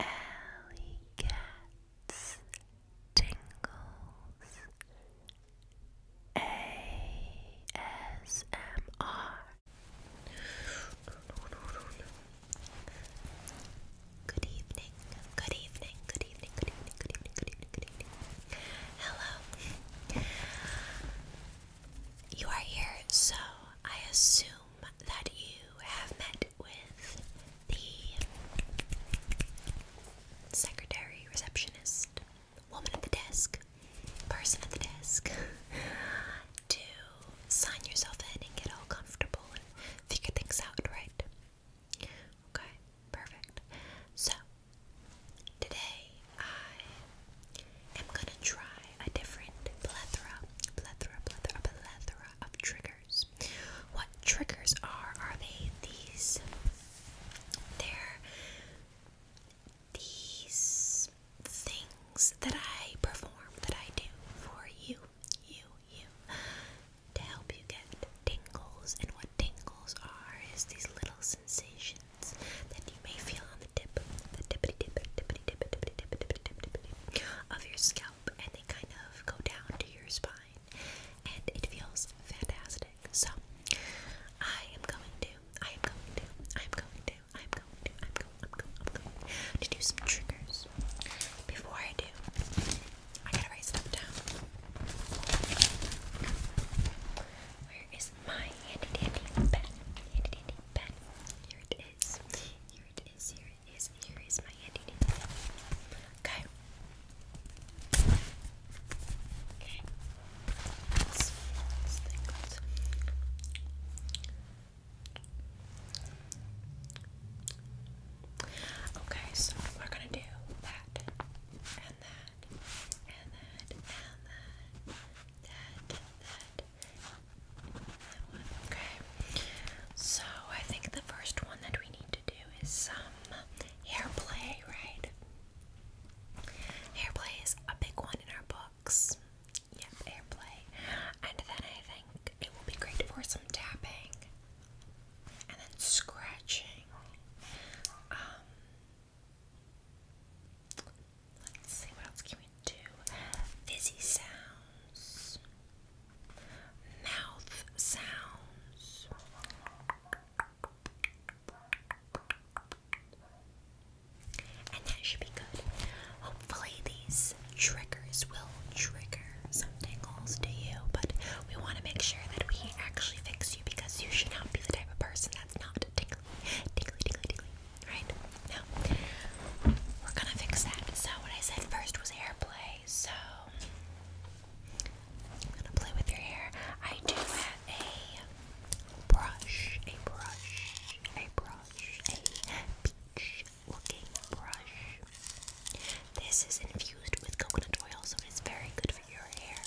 Alley Cats Tingles ASMR Good evening, good evening, good evening, good evening, good evening, good evening, good evening. Hello. You are here, so I assume that you have met with the secretary, receptionist, woman at the desk, person at the desk, to sign yourself in and get all comfortable and figure things out, right? Okay, perfect. So, today I I'm gonna try a different plethora, plethora, plethora, plethora of triggers. What triggers are? Are they these? They're these things that I perform, that I do for you, you, you, to help you get tingles. And what tingles are is these little sensations that you may feel on the tip, the tippity tip, tippity tip, tippity tip, tippity tip, tippity tip of your scalp, and they kind of go down to your spine, and it feels fantastic. So, I am going to, I am going to, I am going to, I am going to, I'm going, I'm going, I'm going to do some triggers. Before I do, I gotta write stuff down. Where is my handy dandy pen? Handy dandy pen. Here it is. Here it here is my handy Okay. Okay. Okay, so we're gonna do that and that and that and that that that Okay. So I think the first one that we need to do is some hair play, right? Hair play is a big one in our books. Yep, hair play. And then I think it will be great for some tapping and then scratching. Um, Let's see, what else can we do? Fizzy sounds, mouth sounds. And that should be good. Hopefully, these triggers will trigger some tingles to you, but we want to make sure that we actually fix you because you should not be the type of person that's not tingly, tingly, tingly, tingly right? Now, we're gonna fix that. So, what I said first was hair play. So, I'm gonna play with your hair. I do have a brush, a brush, a brush, a peach looking brush. This is infused with coconut oil, so it's very good for your hair.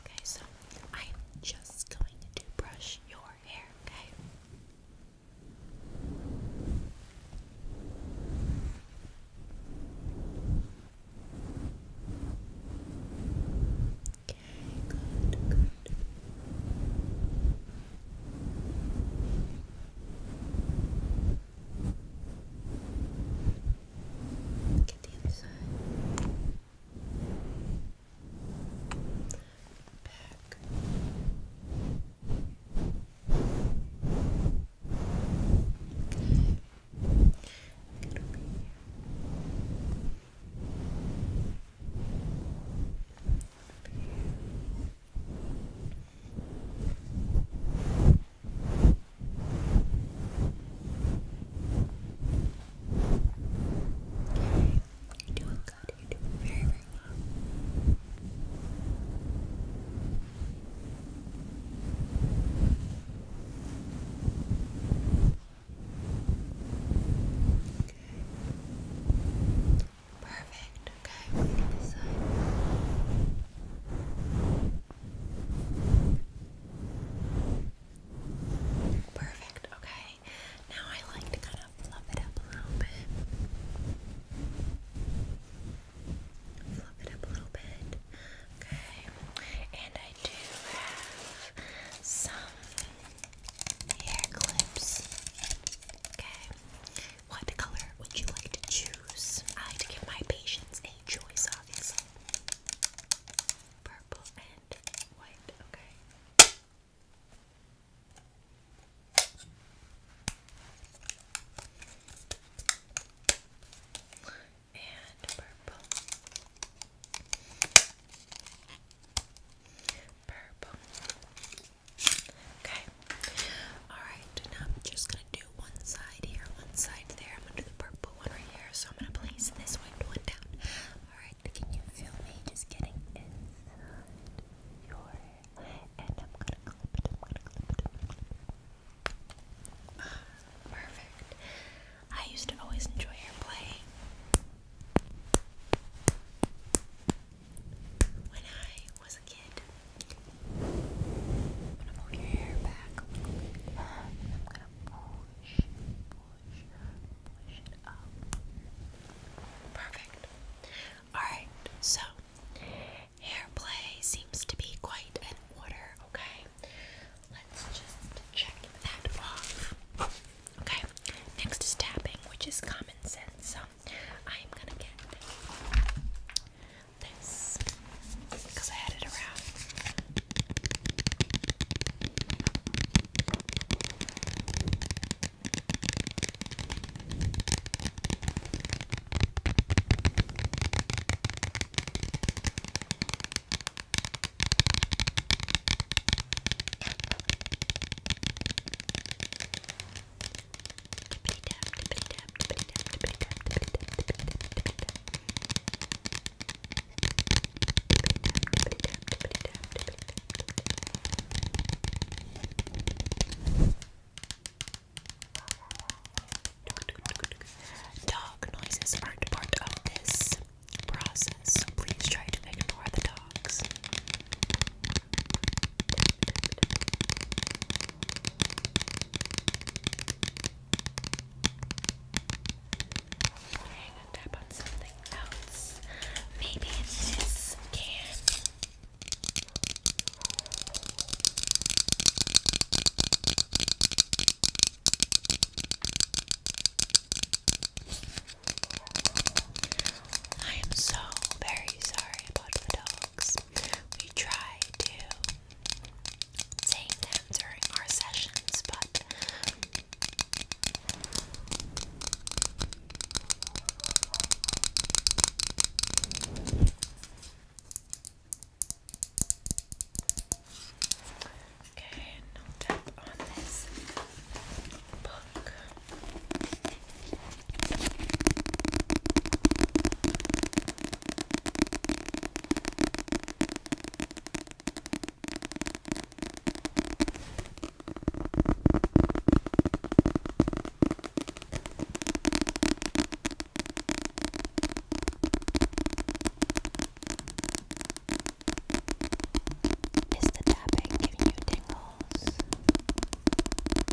Okay, so I'm just going to brush your hair, okay? Okay, good, good. Get the other side. Back. Okay. Get over here. Over here. You're doing good. You're doing very, very well. Okay. Perfect. Okay, Perfect. Okay. Now I like to kind of fluff it up a little bit. Fluff it up a little bit. Okay. And I do have some hair clips. Okay. What color would you like to choose? I like to give my patients a choice, of Purple and white, okay. And purple. Purple. Okay. Alright, now I'm just gonna do one side here, one side there. I'm gonna do the purple one right here. So I'm gonna place this one, down. Alright, can you feel me just getting inside your hair? And I'm gonna clip I'm gonna clip perfect. I used to always enjoy hair play when I was a kid. I'm gonna pull your hair back I'm gonna push, push, push it up. Perfect. Alright, so hair play seems to be quite in order, okay? Let's just check that off. Okay, next is tapping, which is common sense. Um, I'm gonna get this because I had it around. Dog noises aren't part of this process, please try to ignore the dogs. I'm gonna tap on something else. Maybe this can. I am so very sorry about the dogs. We try to tame them during our sessions, but Okay, no tap on this book. Is the tapping giving you tingles?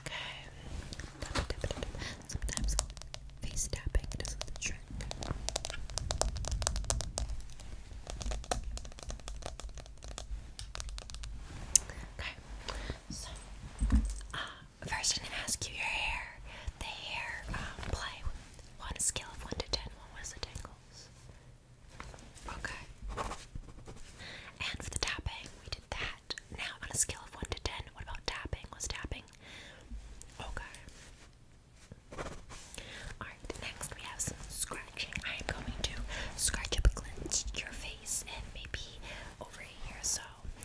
Okay. Sometimes face tapping does the trick. Okay. So, uh, first I'm gonna ask you your hair. The hair um, play. One scale of one to ten. What was the tingles? Okay. And for the tapping, we did that. Now, on a scale of 1 to 10, what about tapping? Was tapping? Okay. Alright, next we have some scratching. I am going to scratch up against your face and maybe over here so.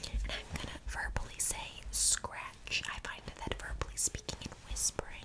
And I'm gonna verbally say scratch. I find that verbally speaking and whispering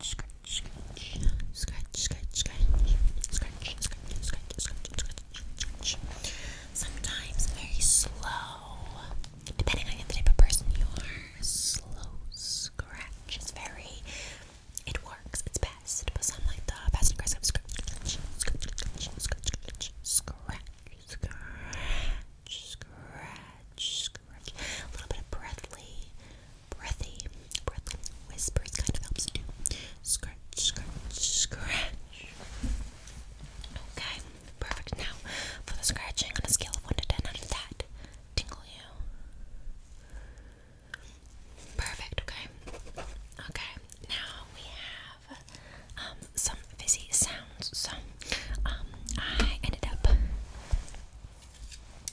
scratch, scratch, scratch, scratch, scratch, scratch, scratch, scratch, scratch. Sometimes very slow, depending on the type of person you are. Slow scratch is very. It works. It's best, but some like the fast and aggressive scratch, scratch, scratch, scratch, scratch, scratch, scratch, scratch, scratch. A little bit of breathly breathy, breathy whispers kind of helps too. Scratch, scratch, scratch. Okay, perfect. Now, for the scratching on a scale of 1 to 10, how did that tingle you? Perfect, okay. Okay, now we have um, some fizzy sounds. So, um, I ended up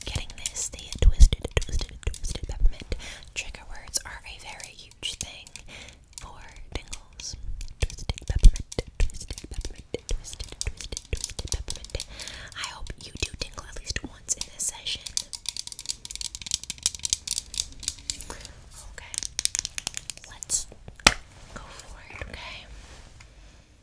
Getting this, the twisted, twisted, twisted peppermint trigger words are a very huge thing for tingles. Twisted peppermint, twisted peppermint, twisted, twisted, twisted peppermint. I hope you do tingle at least once in this session. Okay, let's go for it, okay?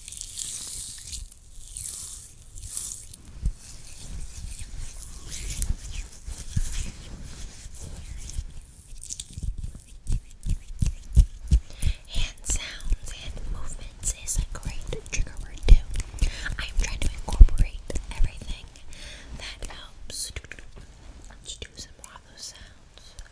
Hand sounds and movements is a great trigger word too. I'm trying to incorporate everything that helps. Let's do some more sounds.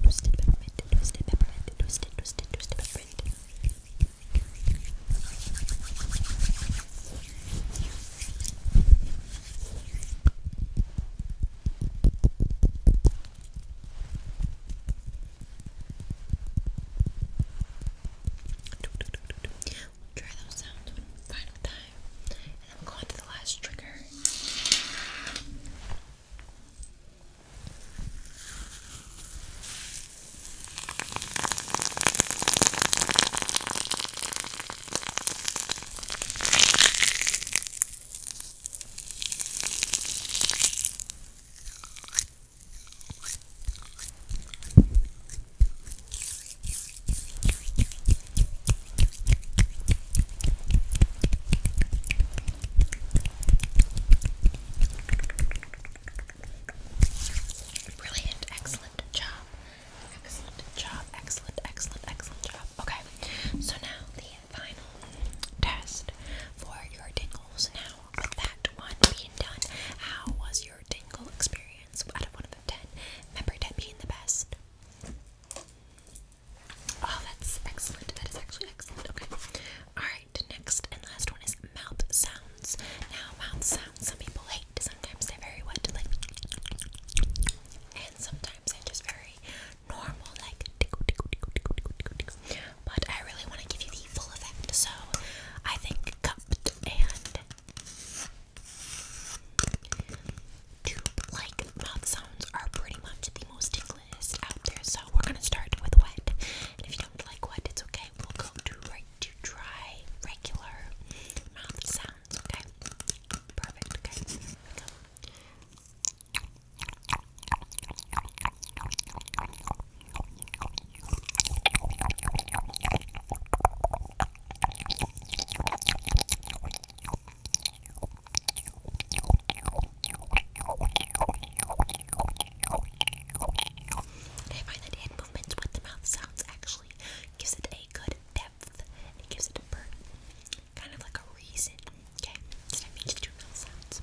Twisted peppermint, twisted peppermint, twisted, twisted, twisted peppermint. We'll try those sounds one final time time. And I'm going to the last trigger. Okay, Brilliant, excellent job. Excellent job, excellent, excellent, excellent job. Okay, so now the final test for your tingles. Now, with that one being done, how was your tingle experience out of one of the ten? Remember, 10 being the best. Oh, that's excellent. That is actually excellent. Okay. Alright, next and last one is mouth sounds. Now, mouth sounds some people hate. Sometimes they're very what? Like, and sometimes they're just very normal, like, tickle, tickle, But I really want to give you the full effect, so I think cupped and tube like mouth sounds are pretty much the most tingliest out there. So we're gonna start with wet. if you don't like wet, it's okay. We'll go to right to dry, regular mouth sounds, okay? Perfect, okay. we go. I find that hand movements with the mouth sounds actually gives it a good depth. It gives it a Kind of like a reason. Okay, so that means mouth sounds.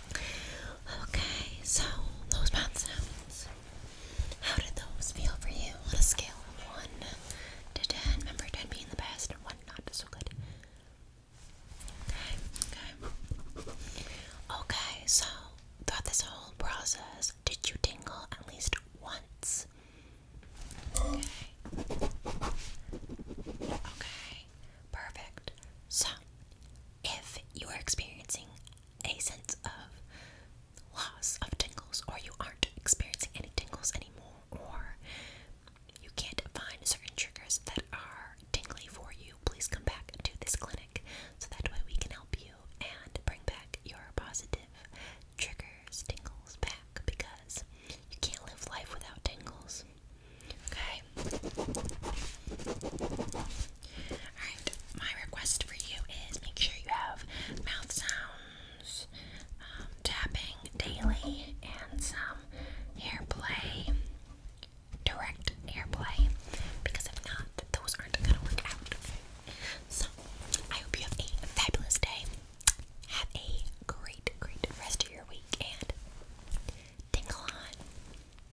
Okay, so those sounds. How did those feel for you on a scale of 1 to 10? Remember 10 being the best and 1 not so good. Okay, okay. Okay, so throughout this whole process, did you tingle at least once? Okay. Okay, perfect. So, if you are experiencing a sense of loss of tingles, or you aren't experiencing any tingles anymore, or you can't find certain triggers that are tingly for you, please come back to this clinic so that way we can help you and bring back your positive triggers, tingles back because you can't live life without tingles. Okay? Alright, my request for you is make sure you have mouth sounds, um, tapping daily, and some hair play, direct hair play, because if not, those aren't gonna work out. So, I hope you have a fabulous day. Have a great, great rest of your week and tingle on.